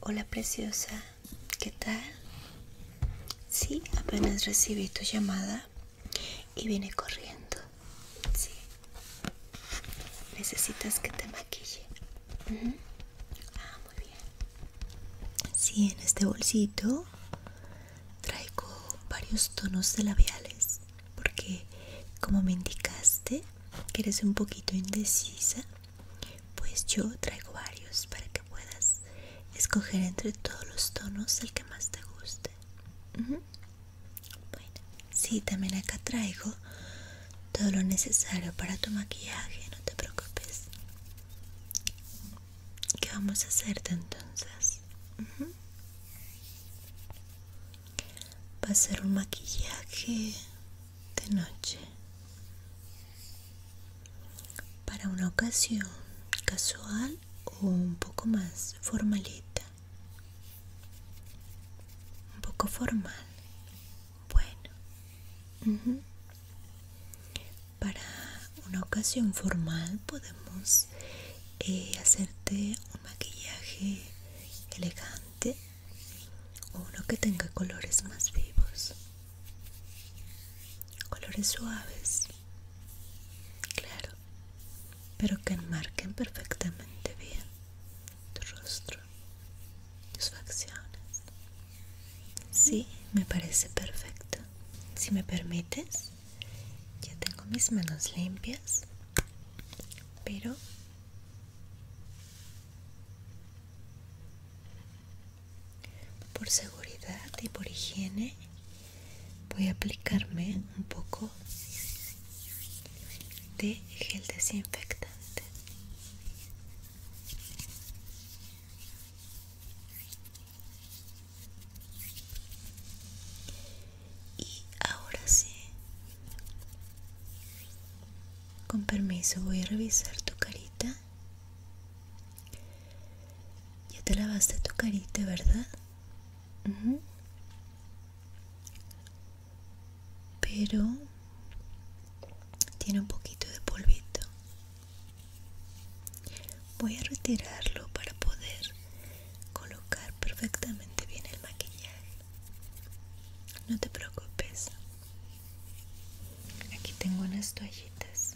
Hola preciosa, ¿qué tal? Sí, apenas recibí tu llamada y vine corriendo. Sí. ¿Necesitas que te maquille? Ah, muy bien. Sí, en este bolsito traigo varios tonos de labiales porque como me indicaste que eres un poquito indecisa pues yo traigo varios para que puedas escoger entre todos los tonos el que más te guste. Bueno, sí, también acá traigo todo lo necesario para tu maquillaje, no te preocupes. ¿Qué vamos a hacerte entonces? Va a ser un maquillaje de noche. Para una ocasión casual o un poco más formalita. Un poco formal. Bueno. Para una ocasión formal podemos eh, hacerte un maquillaje elegante o uno que tenga colores más vivos, colores suaves, claro, pero que enmarquen perfectamente bien tu rostro, tus facciones. Sí, me parece perfecto. Si me permites, ya tengo mis manos limpias, pero por seguridad y por higiene voy a aplicarme un poco de gel desinfectante. Y ahora sí con permiso, voy a revisar tu carita. Ya te lavaste tu carita, ¿verdad? Pero tiene un poquito de polvito. Voy a retirarlo para poder colocar perfectamente bien el maquillaje. No te preocupes. Aquí tengo unas toallitas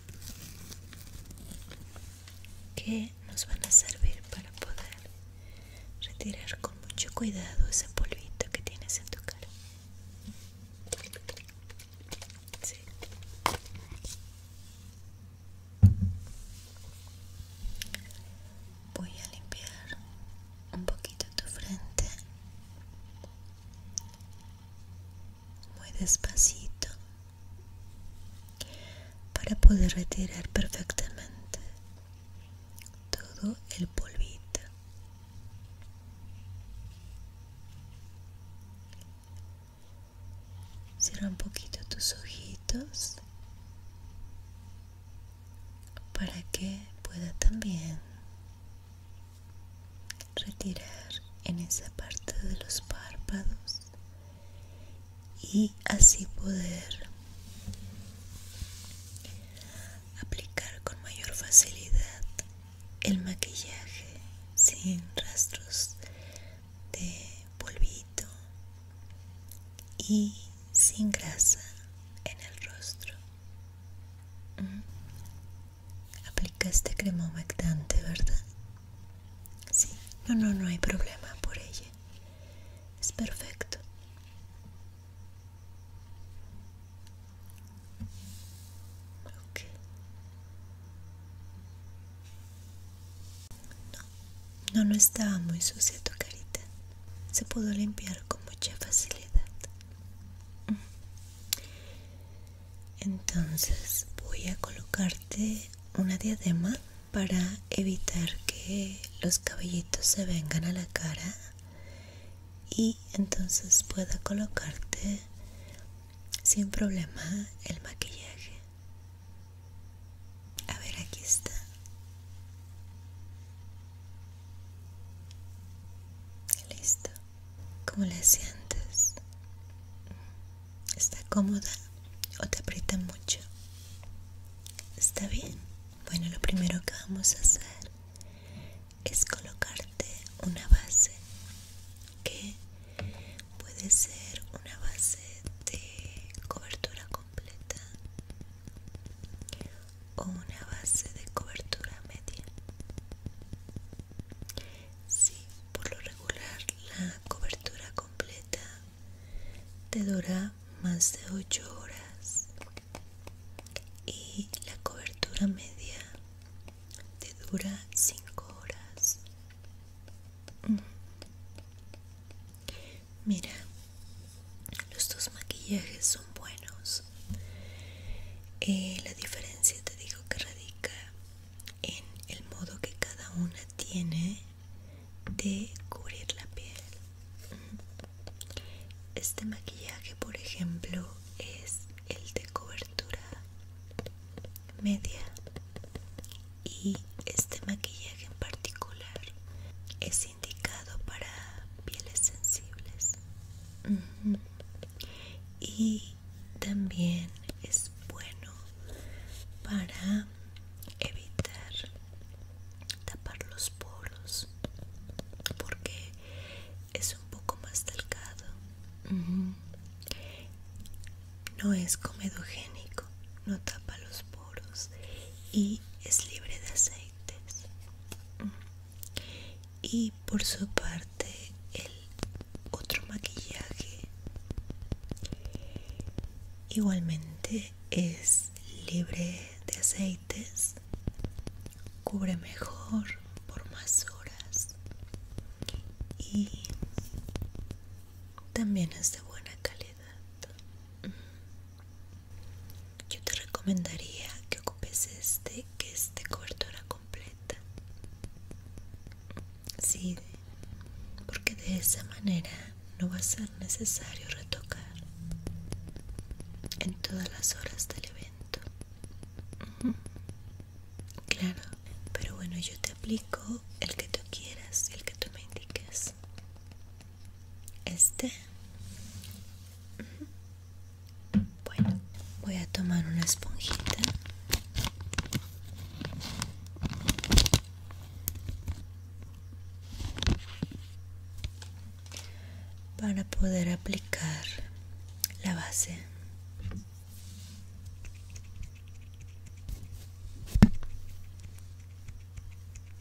que nos van a servir para poder retirar con mucho cuidado ese polvito que tienes en tu cara voy a limpiar un poquito tu frente muy despacito para poder retirar perfectamente todo el polvito cierra un poquito tus ojitos para que pueda también retirar en esa parte de los párpados y así poder aplicar con mayor facilidad el maquillaje sin rastros de polvito y sin grasa en el rostro Aplicaste crema humectante, ¿verdad? Sí, no, no, no hay problema por ella. Es perfecto. No, no, no estaba muy sucia tu carita se pudo limpiar con mucha facilidad. Entonces voy a colocarte una diadema para evitar que los cabellitos se vengan a la cara y entonces pueda colocarte sin problema el maquillaje. A ver, aquí está. Listo. ¿Cómo la sientes? ¿Está cómoda o te aprieta mucho? ¿Está bien? Bueno, lo primero que vamos a hacer es colocarte una base que puede ser una base de cobertura completa o una base de cobertura media. sí, por lo regular la cobertura completa te dura más de 8 horas y la cobertura media te dura 5 horas. Mira, los dos maquillajes son buenos. Eh, la diferencia te digo que radica en el modo que cada una tiene de cubrir la piel. Este maquillaje, por ejemplo, es el de cobertura media y este maquillaje en particular es indicado para pieles sensibles y también es bueno para evitar tapar los poros porque es un poco más delgado no es comedogénico no tapa los poros y es libre de aceites. Y por su parte el otro maquillaje igualmente es libre de aceites, cubre mejor por más horas y también es de buena calidad yo te recomendaría que ocupes este que es de cobertura completa sí porque de esa manera no va a ser necesario retocar en todas las horas del evento claro pero bueno yo te aplico el que tú quieras el que tú me indiques este bueno voy a tomar una esponjita para poder aplicar la base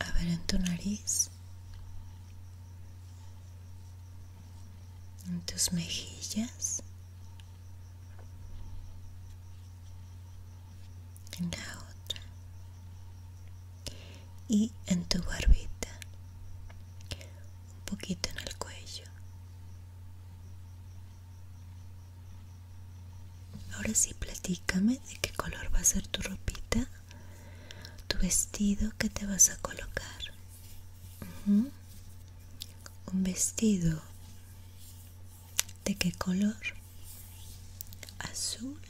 A ver en tu nariz. En tus mejillas. En la otra. Y en tu barbita. Un poquito en el cuello. Ahora sí, platícame de qué color va a ser tu ropita tu vestido que te vas a colocar un vestido de qué color azul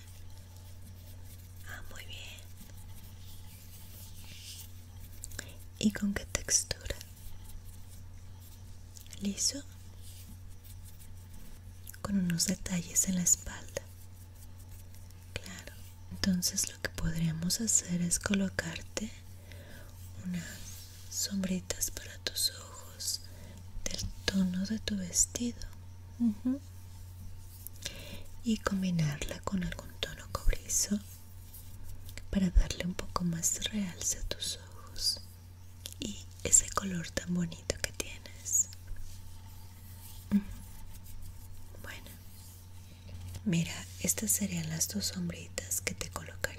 ah, muy bien y con qué textura liso con unos detalles en la espalda. Claro, entonces lo que podríamos hacer es colocarte unas sombritas para tus ojos del tono de tu vestido y combinarla con algún tono cobrizo para darle un poco más realce a tus ojos y ese color tan bonito que tienes. Bueno, mira, estas serían las dos sombritas que te colocaría.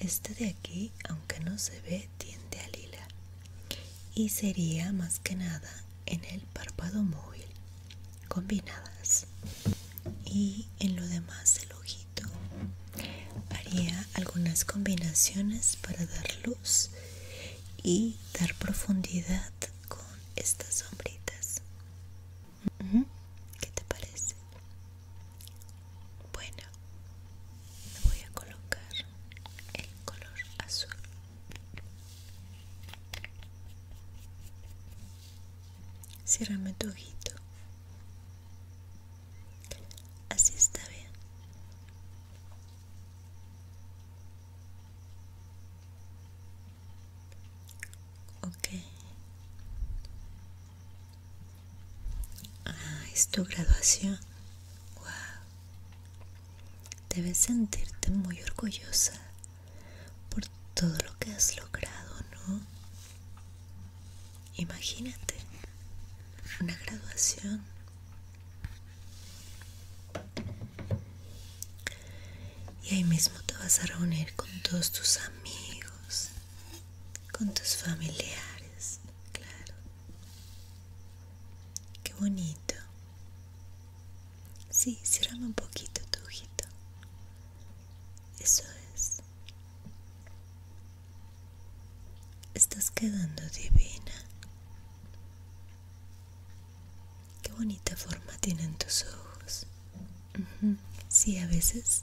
este de aquí, aunque no se ve, tiende a lila y sería más que nada en el párpado móvil combinadas y en lo demás del ojito haría algunas combinaciones para dar luz y dar profundidad con estas sombritas. ¿Qué te parece? Bueno, voy a colocar el color azul. Cierrame tu ojito. Así está bien. Ok. Ah, es tu graduación. Wow. Debes sentirte muy orgullosa por todo lo que has logrado, ¿no? Imagínate una graduación y ahí mismo te vas a reunir con todos tus amigos, con tus familiares, claro. Qué bonito. Sí, cierrame un poquito tu ojito. Eso es. Estás quedando divina. Qué bonita forma tienen tus ojos. si a veces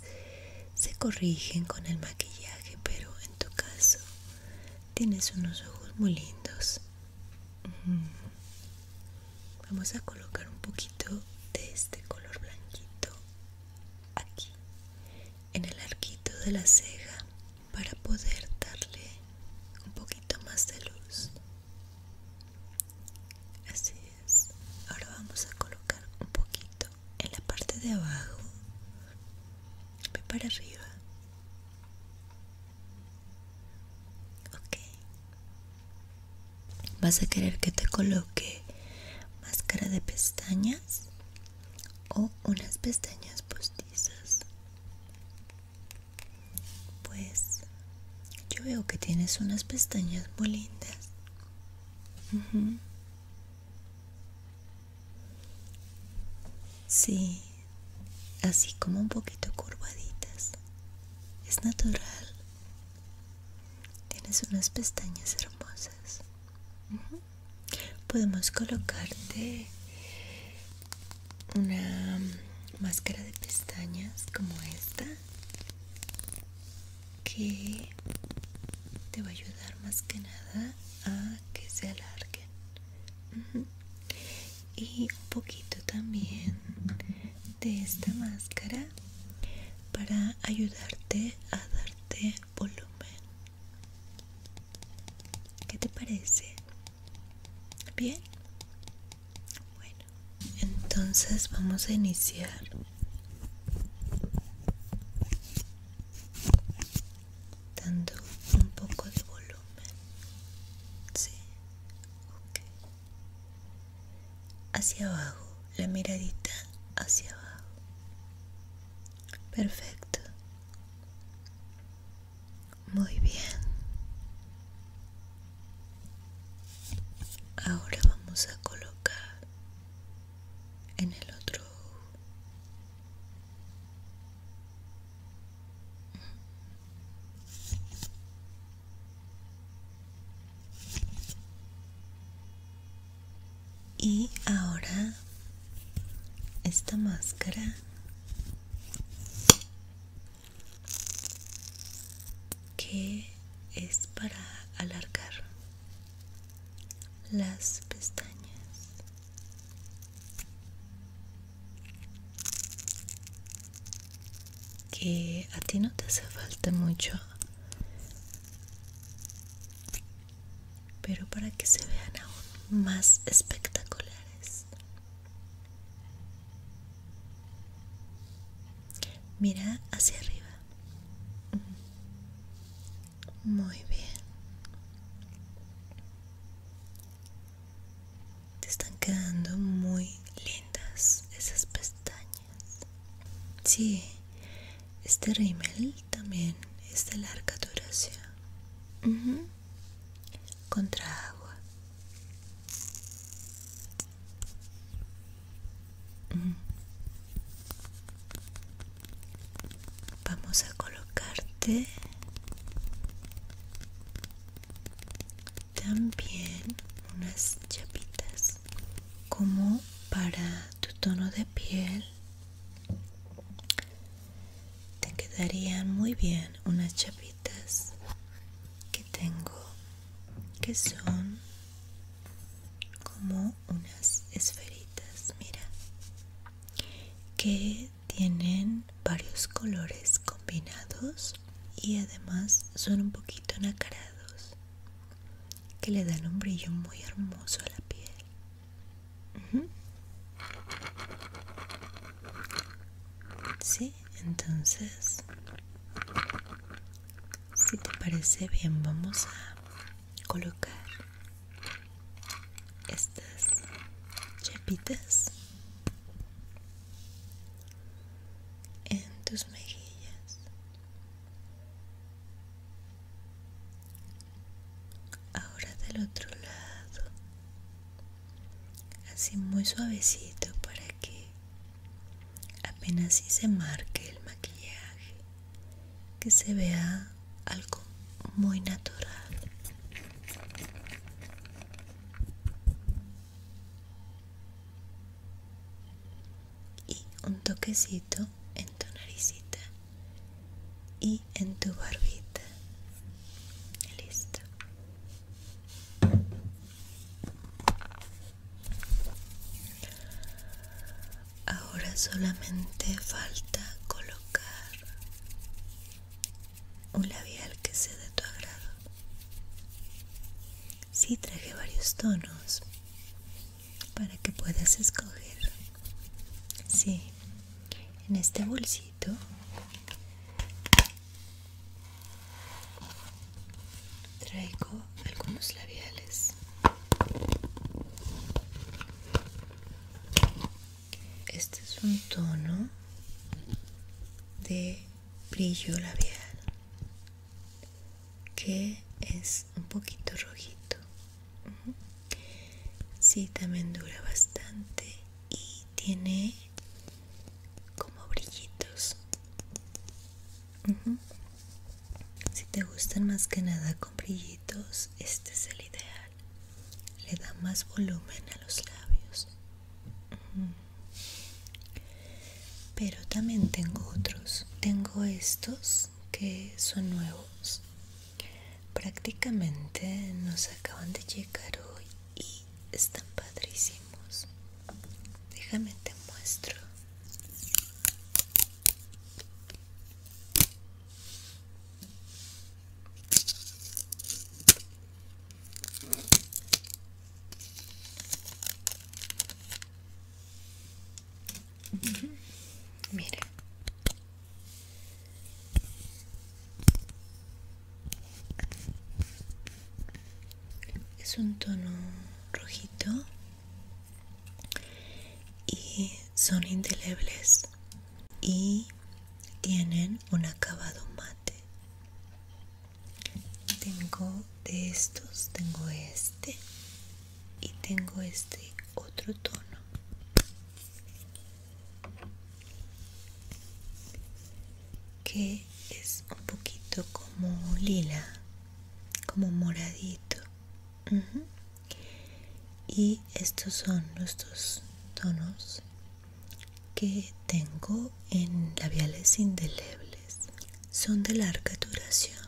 se corrigen con el maquillaje, pero en tu caso tienes unos ojos muy lindos. Vamos a colocar un poquito de este color blanquito aquí, en el arquito de la ceja para poder darle un poquito más de luz así es ahora vamos a colocar un poquito en la parte de abajo ve para arriba ok vas a querer que te coloque máscara de pestañas o unas pestañas postizas. Pues yo veo que tienes unas pestañas muy lindas. Sí, así como un poquito curvaditas. Es natural. Tienes unas pestañas hermosas podemos colocarte una máscara de pestañas como esta que te va a ayudar más que nada a que se alarguen y un poquito también de esta máscara para ayudarte a darte volumen ¿Qué te parece? ¿Bien? Bueno, entonces vamos a iniciar. Dando un poco de volumen. Sí. Ok. Hacia abajo, la miradita hacia abajo. Perfecto. Muy bien. Ahora vamos a colocar en el otro y ahora esta máscara que es para alargar las pestañas que a ti no te hace falta mucho pero para que se vean aún más espectaculares. Mira hacia arriba. Mm. Muy bien. Te están quedando muy lindas esas pestañas. Sí, este rímel también es de larga duración. Contra agua. Mm. Vamos a colocarte también unas chapitas como para tu tono de piel te quedarían muy bien unas chapitas que tengo que son como unas esferitas, mira, que tienen varios colores combinados y además son un poquito nacarados que le dan un brillo muy hermoso a la piel. Sí, entonces, si te parece bien, vamos a colocar estas chapitas en tus mejillas Ahora del otro lado, así muy suavecito para que apenas si se marque el maquillaje, que se vea algo muy natural y un toquecito en tu naricita y en tu barbita. Listo. Ahora solamente falta colocar un labial que sea de tu agrado. si traje varios tonos para que puedas escoger sí en este bolsito traigo algunos labiales este es un tono de brillo labial que es un poquito rojito si sí también dura bastante y tiene como brillitos si te gustan más que nada con brillitos este es el ideal le da más volumen a los labios pero también tengo otros tengo estos que son nuevos. Prácticamente nos acaban de llegar hoy y están padrísimos. Déjame te muestro. Mire. Es un tono rojito y son indelebles y tienen un acabado mate. Tengo de estos, tengo este y tengo este otro tono que es un poquito como lila como moradito y estos son los dos tonos que tengo en labiales indelebles son de larga duración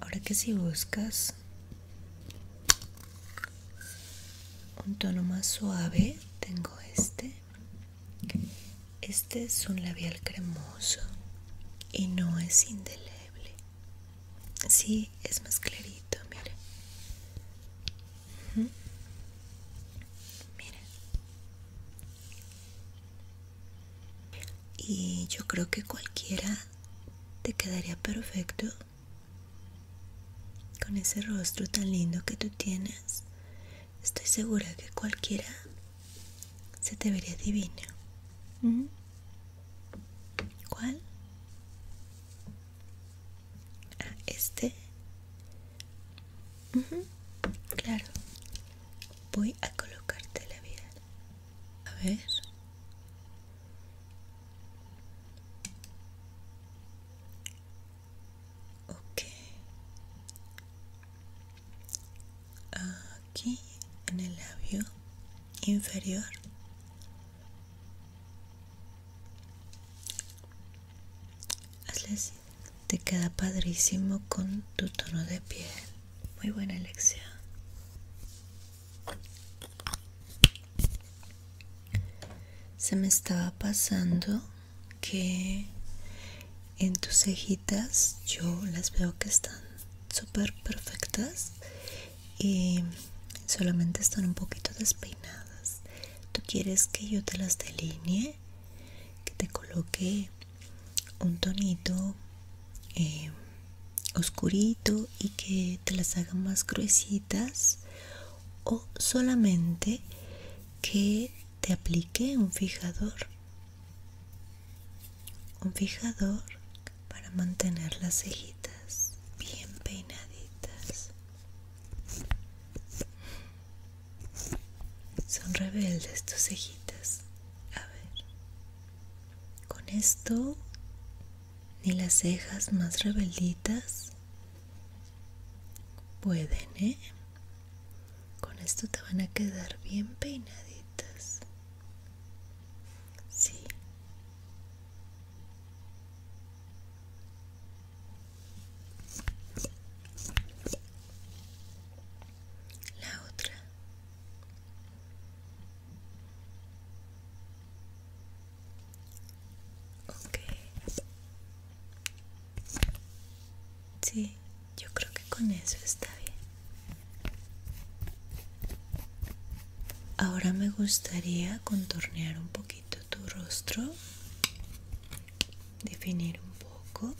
Ahora que si buscas un tono más suave, tengo este. Este es un labial cremoso y no es indeleble. Sí, es más clarito, mire y yo creo que cualquiera te quedaría perfecto con ese rostro tan lindo que tú tienes. Estoy segura que cualquiera se te vería divino. ¿Cuál? Ah, este. Claro voy a colocarte la vida. A ver. Aquí en el labio inferior. Hazle así te queda padrísimo con tu tono de piel. Muy buena Alexia Se me estaba pasando que en tus cejitas yo las veo que están súper perfectas y solamente están un poquito despeinadas. Tú quieres que yo te las delinee, que te coloque un tonito eh, oscurito y que te las haga más gruesitas o solamente que te aplique un fijador un fijador para mantener las cejitas bien peinaditas son rebeldes tus cejitas. A ver. Con esto, ni las cejas más rebelditas pueden, ¿eh? Con esto te van a quedar bien peinaditas. Sí la otra sí yo creo que con eso está bien ahora me gustaría contornear un poquito tu rostro definir un poco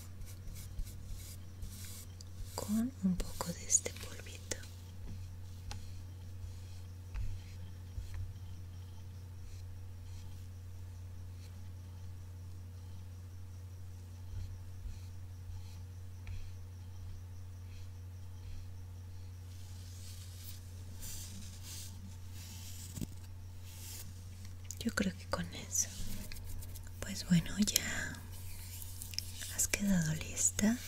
con un poco de este polvito yo creo que con eso pues bueno ya has quedado lista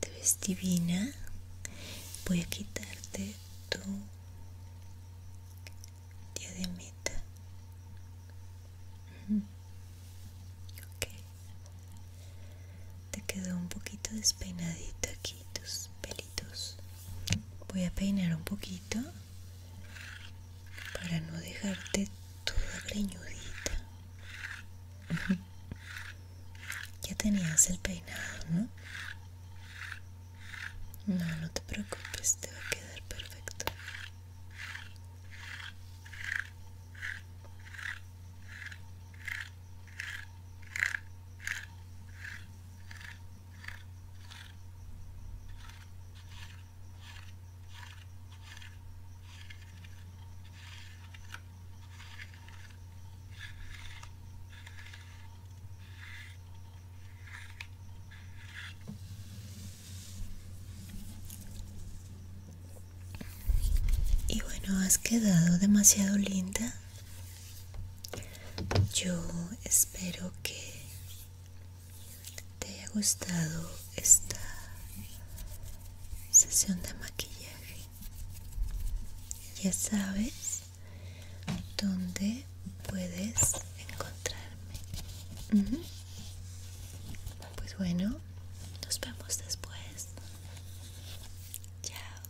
te ves divina voy a quitarte tu diademita te quedó un poquito despeinadito aquí tus pelitos voy a peinar un poquito para no dejarte toda greñudita. Ya tenías el peinado, ¿no? No, no te preocupes, te va a quedar perfecto. Y bueno, has quedado demasiado linda. Yo espero que te haya gustado esta sesión de maquillaje ya sabes dónde puedes encontrarme pues bueno nos vemos después chao